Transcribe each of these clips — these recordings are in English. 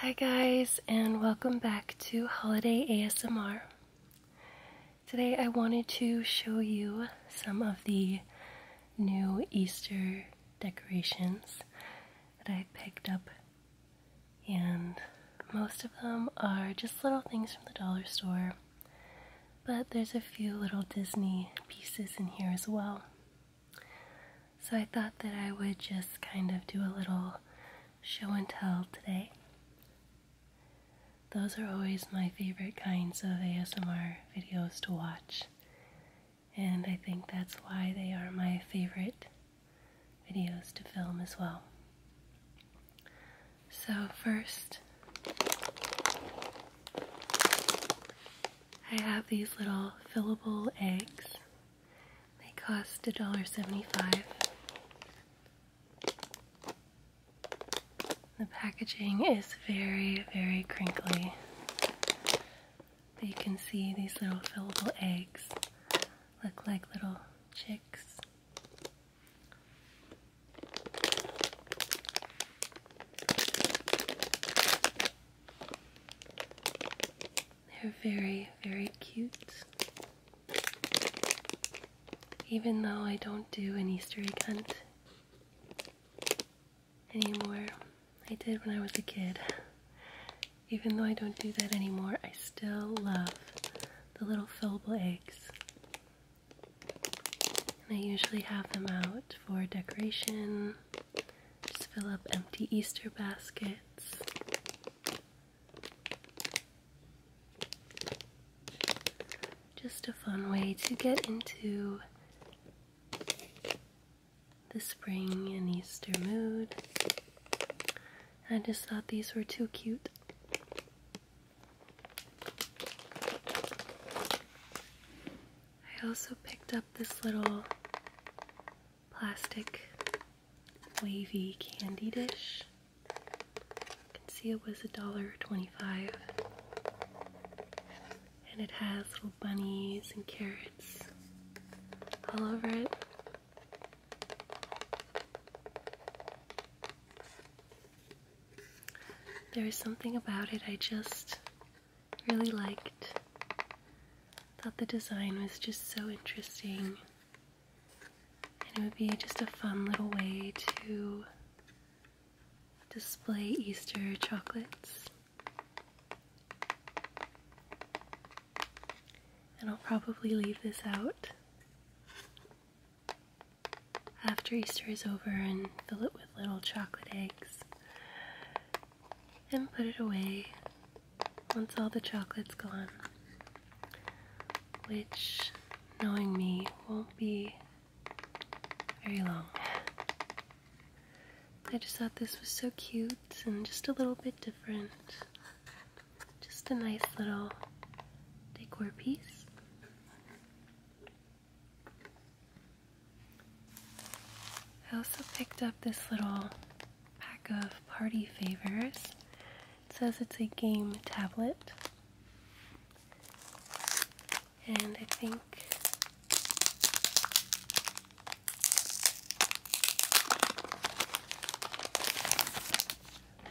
Hi, guys, and welcome back to Holiday ASMR. Today, I wanted to show you some of the new Easter decorations that I picked up, and most of them are just little things from the dollar store, but there's a few little Disney pieces in here as well. So I thought that I would just kind of do a little show and tell today. Those are always my favorite kinds of ASMR videos to watch, and I think that's why they are my favorite videos to film as well. So, first, I have these little fillable eggs. They cost $1.75. The packaging is very, very crinkly. you can see these little fillable eggs look like little chicks. They're very, very cute. Even though I don't do an Easter egg hunt anymore, I did when I was a kid. Even though I don't do that anymore, I still love the little fillable eggs. And I usually have them out for decoration just fill up empty Easter baskets. Just a fun way to get into the spring and Easter mood. I just thought these were too cute. I also picked up this little plastic wavy candy dish. You can see it was $1.25. And it has little bunnies and carrots all over it. There is something about it I just Really liked. Thought the design was just so interesting. And it would be just a fun little way to display Easter chocolates. And I'll probably leave this out after Easter is over and fill it with little chocolate eggs and put it away once all the chocolate's gone. Which, knowing me, won't be very long. I just thought this was so cute and just a little bit different. Just a nice little decor piece. I also picked up this little pack of party favors. It says it's a game tablet. And I think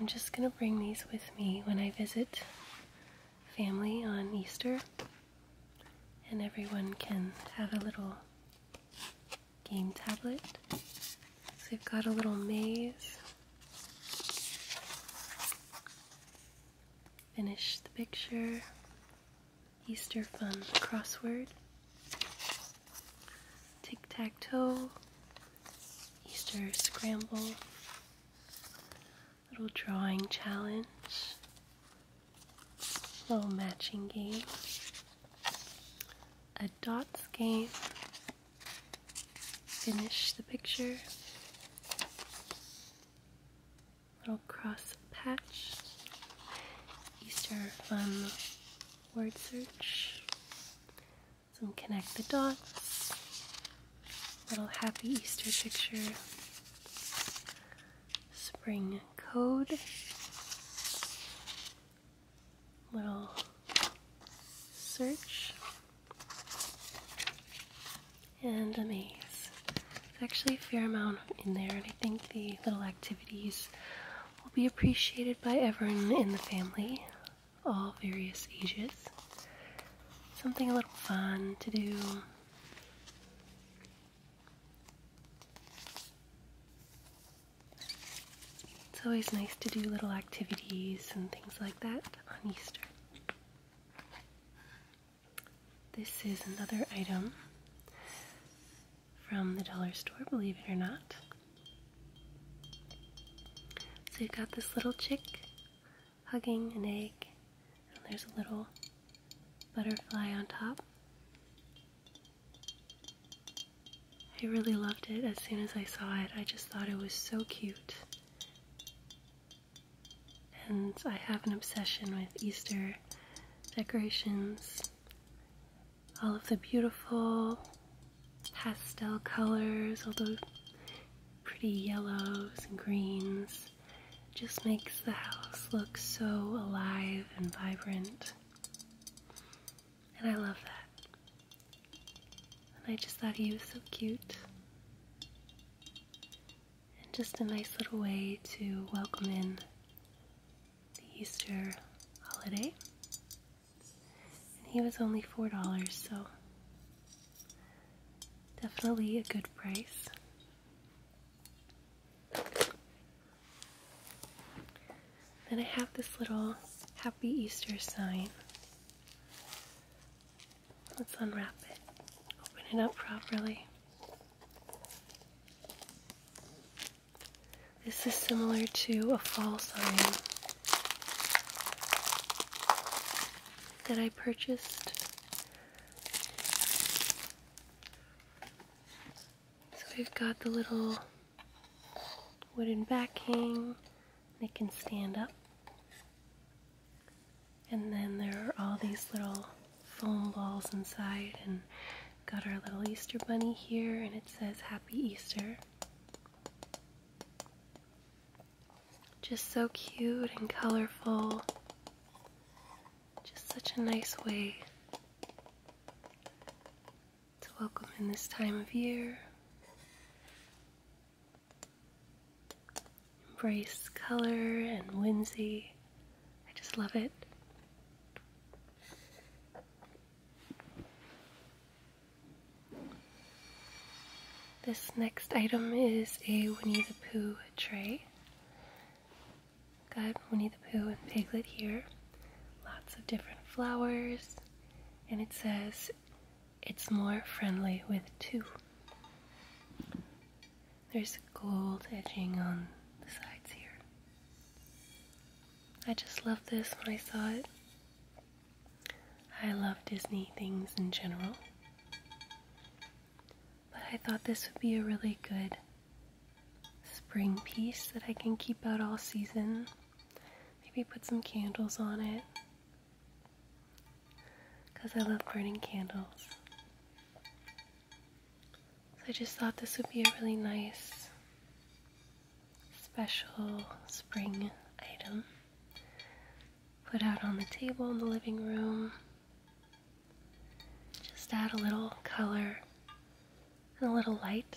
I'm just going to bring these with me when I visit family on Easter, and everyone can have a little game tablet. So we've got a little maze. Finish the picture. Easter fun crossword. Tic tac toe. Easter scramble little drawing challenge, little matching game, a dot game, finish the picture, little cross patch, Easter fun word search, some connect the dots, little happy Easter picture, spring code, little search, and a maze. There's actually a fair amount in there, and I think the little activities will be appreciated by everyone in the family all various ages. Something a little fun to do. It's always nice to do little activities and things like that on Easter. This is another item from the dollar store, believe it or not. So you've got this little chick hugging an egg, and there's a little butterfly on top. I really loved it as soon as I saw it. I just thought it was so cute. And I have an obsession with Easter decorations. All of the beautiful pastel colors, all those pretty yellows and greens. Just makes the house look so alive and vibrant. And I love that. And I just thought he was so cute. And just a nice little way to welcome in the Easter holiday. And he was only $4, so definitely a good price. Then I have this little Happy Easter sign. Let's unwrap it, open it up properly. This is similar to a fall sign that I purchased. So we've got the little wooden backing it can stand up. And then there are all these little foam balls inside and got our little Easter bunny here and it says Happy Easter. Just so cute and colorful. Just such a nice way to welcome in this time of year. Embrace color and whimsy. I just love it. This next item is a Winnie the Pooh tray. Got Winnie the Pooh and Piglet here. Lots of different flowers. And it says, it's more friendly with two. There's gold edging on the sides here. I just love this when I saw it. I love Disney things in general, but I thought this would be a really good spring piece that I can keep out all season. Maybe put some candles on it because I love burning candles. So I just thought this would be a really nice special spring item put out on the table in the living room. Just add a little color and a little light.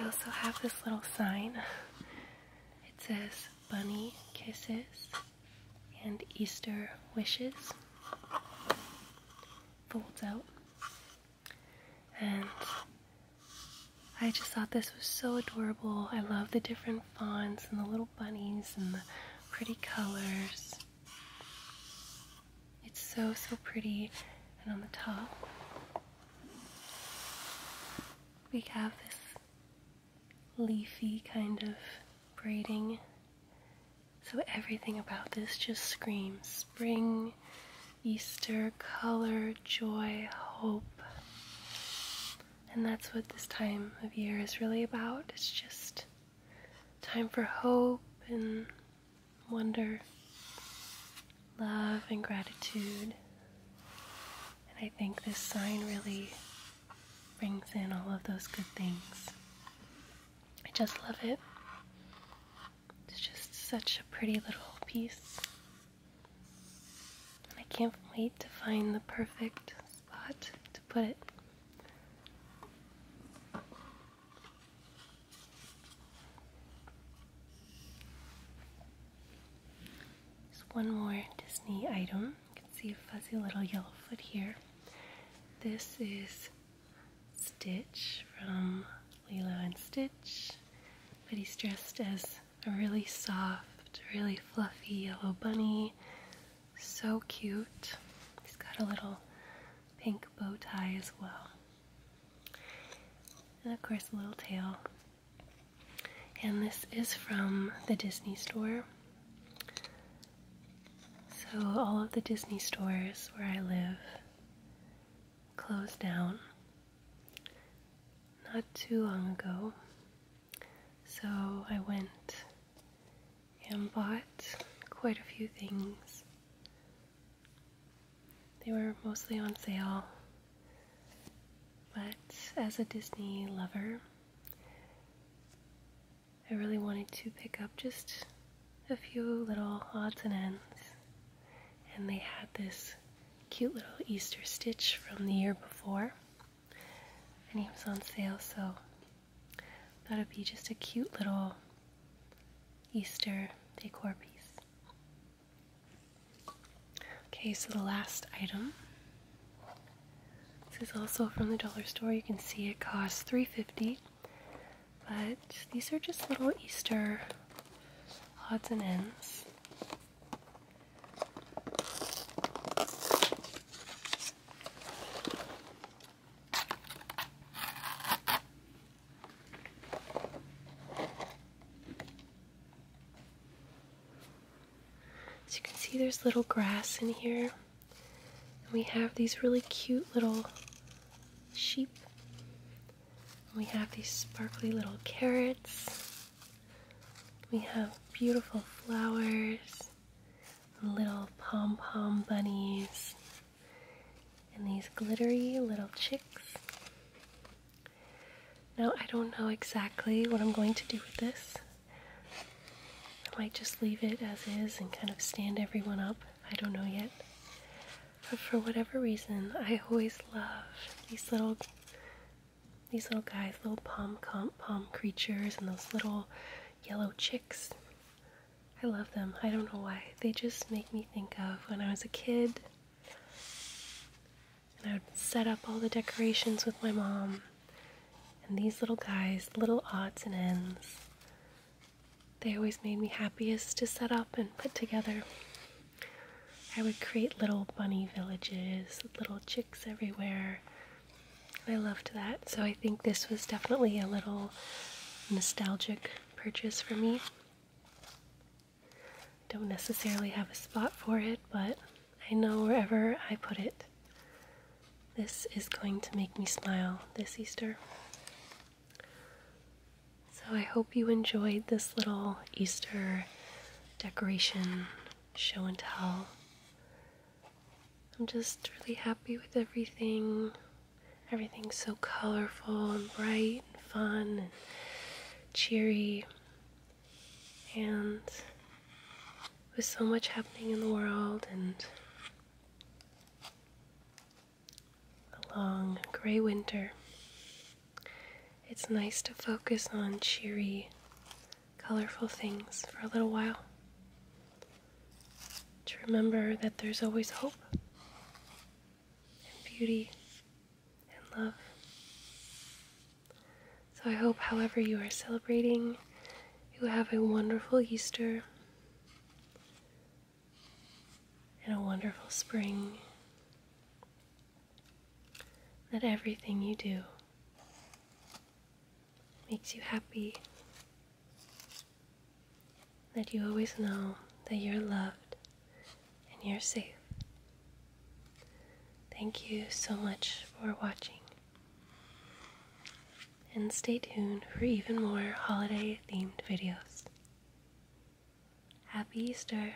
I also have this little sign. It says bunny kisses and Easter wishes. Folds out. And I just thought this was so adorable. I love the different fonts and the little bunnies and the pretty colors. It's so, so pretty. And on the top, we have this leafy kind of braiding. So everything about this just screams spring, Easter, color, joy, hope. And that's what this time of year is really about. It's just time for hope and wonder, love and gratitude. And I think this sign really brings in all of those good things. I just love it. It's just such a pretty little piece. And I can't wait to find the perfect spot to put it. Just one more Disney item. You can see a fuzzy little Yellowfoot here. This is Stitch from Lilo and Stitch, but he's dressed as a really soft, really fluffy yellow bunny so cute. He's got a little pink bow tie as well. And of course, a little tail. And this is from the Disney store. So, all of the Disney stores where I live closed down not too long ago. So, I went and bought quite a few things. They were mostly on sale, but as a Disney lover, I really wanted to pick up just a few little odds and ends. And they had this cute little Easter stitch from the year before and he was on sale, so that would be just a cute little Easter decor piece. Okay, so the last item. This is also from the dollar store. You can see it costs $3.50. But these are just little Easter odds and ends this. As you can see, there's little grass in here. we have these really cute little sheep. we have these sparkly little carrots. We have beautiful flowers little pom pom bunnies, and these glittery little chicks. Now, I don't know exactly what I'm going to do with this. I might just leave it as is and kind of stand everyone up. I don't know yet. But for whatever reason, I always love these little these little guys, little palm, com creatures, and those little yellow chicks. I love them. I don't know why. They just make me think of when I was a kid. And I would set up all the decorations with my mom. And these little guys, little odds and ends, they always made me happiest to set up and put together. I would create little bunny villages, little chicks everywhere, I loved that. So I think this was definitely a little nostalgic purchase for me. Don't necessarily have a spot for it, but I know wherever I put it, this is going to make me smile this Easter. So I hope you enjoyed this little Easter decoration show and tell. I'm just really happy with everything. Everything's so colorful and bright and fun and cheery. And with so much happening in the world and a long gray winter, it's nice to focus on cheery colorful things for a little while. To remember that there's always hope and beauty and love. So I hope, however, you are celebrating, you have a wonderful Easter and a wonderful spring that everything you do makes you happy, that you always know that you're loved and you're safe. Thank you so much for watching. And stay tuned for even more holiday themed videos. Happy Easter!